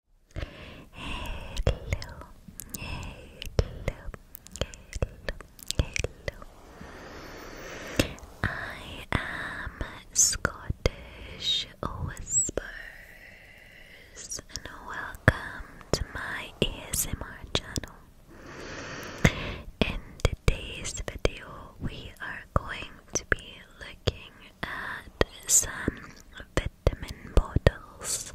Hello, hello, hello, hello. I am Scottish Whispers, and welcome to my ASMR channel. In today's video, we are going to be looking at some vitamin bottles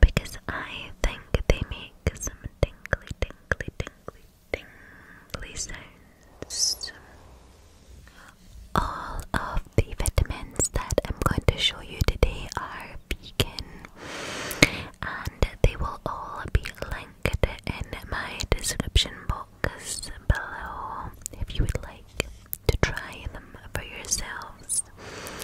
because I think they make some tingly, tingly, tingly, tingly sounds. All of the vitamins that I'm going to show you today are vegan and they will all be linked in my description box below if you would like to try them for yourselves.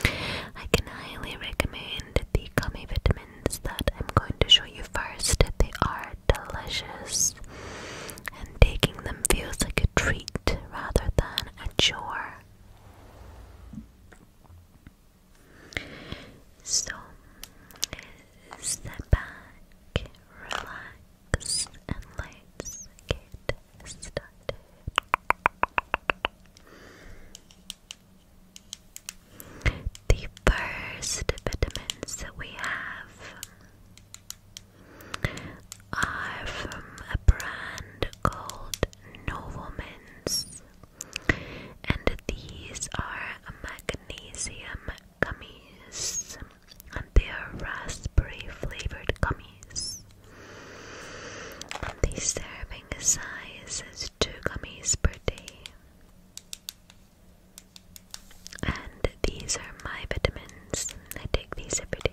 I can highly recommend the gummy vitamins that I'm going to show you first. They are delicious, and taking them feels like a treat rather than a chore. So, sit back, relax. The first vitamins that we have are from a brand called Novomins, and these are magnesium gummies, and they are raspberry flavored gummies. And the serving sizes is two gummies per day. And these are my vitamins. I take these every day.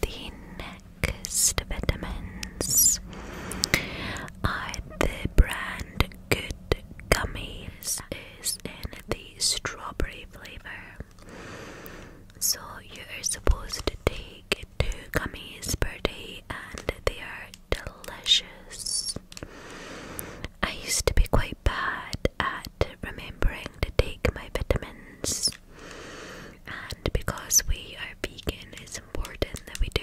The next vitamins are the brand Good Gummies in the strawberry flavor. So you are supposed to take two gummies per day and they are delicious. I used to be quite bad at remembering to take my vitamins. And because we are vegan, it's important that we do.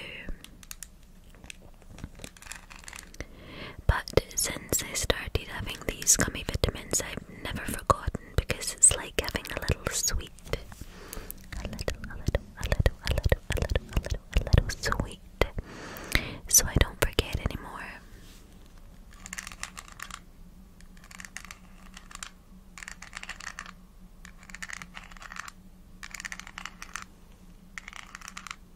But since I started having these gummy vitamins, I've never forgotten because it's like having a little sweet. A little, a little, a little, a little, a little, a little, a little sweet. So I don't forget anymore.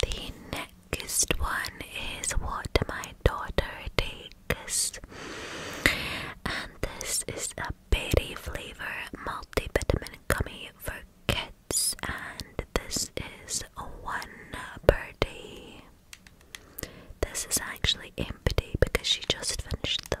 The next one is What My Daughter Did and this is a berry flavor multivitamin gummy for kids, and this is one per day. This is actually empty because she just finished them.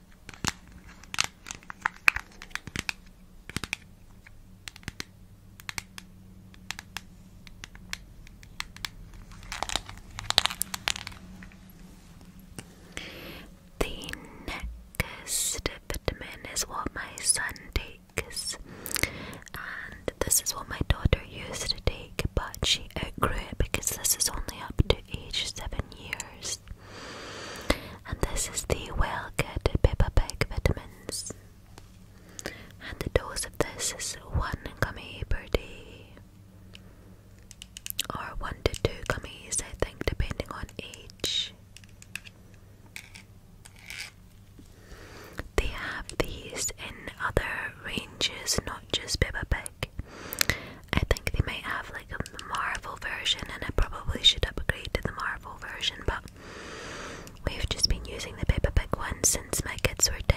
The next vitamin is what my son takes, and this is what my daughter used to take, but she outgrew it because this is only up to age seven years. And this is the Well Good Pepper Bag Vitamins. And the dose of this is one gummy per day. Or one to two gummies, I think, depending on age. They have these in other ranges, not just Peppa Pig. I think they might have like a Marvel version, and I probably should upgrade to the Marvel version, but we've just been using the paper Pig one since my kids were tiny.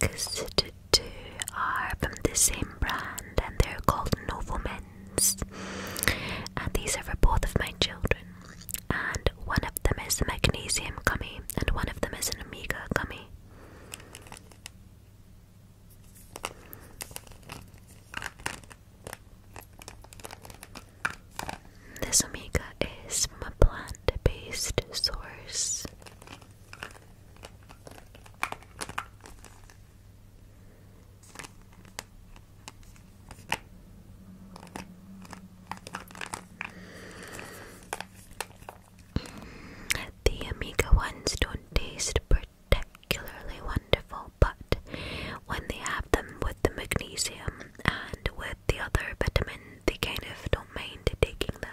The next two are from the same brand and they're called Novomed. And these are for both of my children. And one of them is a magnesium gummy, and one of them is an omega gummy. This Omega is a plant based source. The Amiga ones don't taste particularly wonderful, but when they have them with the magnesium and with the other vitamin, they kind of don't mind taking them.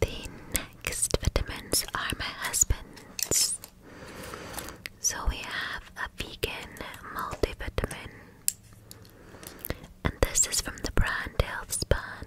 The next vitamins are my husband's. So we have a vegan multivitamin. And this is from the brand Healthspan.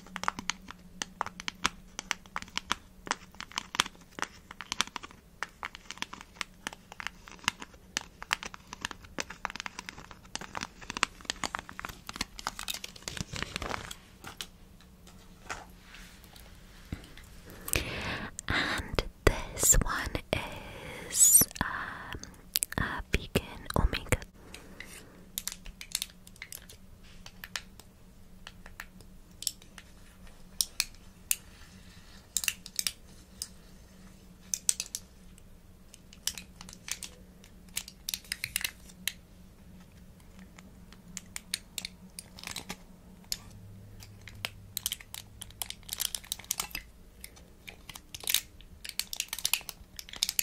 And this one is um, vegan omega.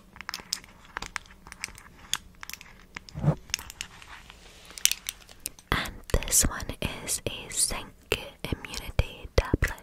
And this one is a zinc immunity tablet.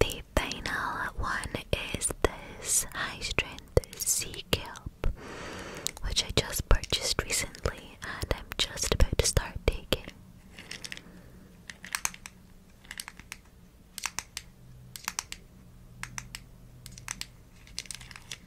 The final one is this high strength sea kelp, which I just purchased recently and I'm just about to start taking.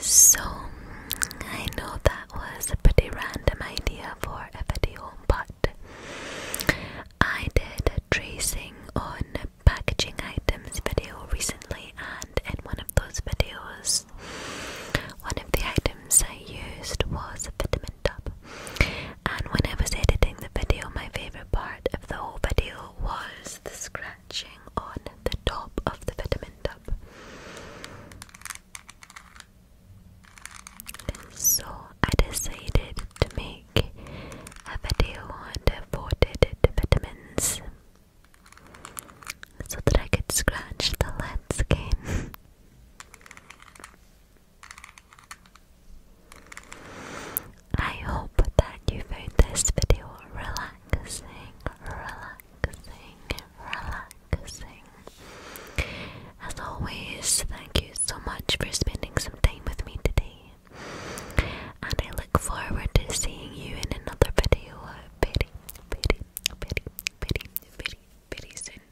So, I know that was a pretty random idea for a video, but I did a tracing on packaging items video recently, and in one of those videos, one of the items I used was a vitamin tub. And when I was editing the video, my favorite part the whole video was the scratching on the top of the vitamin tub. so I decided to make a video on devoted to vitamins so that I could scratch the lens again. I hope that you found this video relaxing, relaxing, relaxing. As always, thank you so much for spending some time with me today. And I look forward to seeing you in another video very, very, very, very, very, very soon.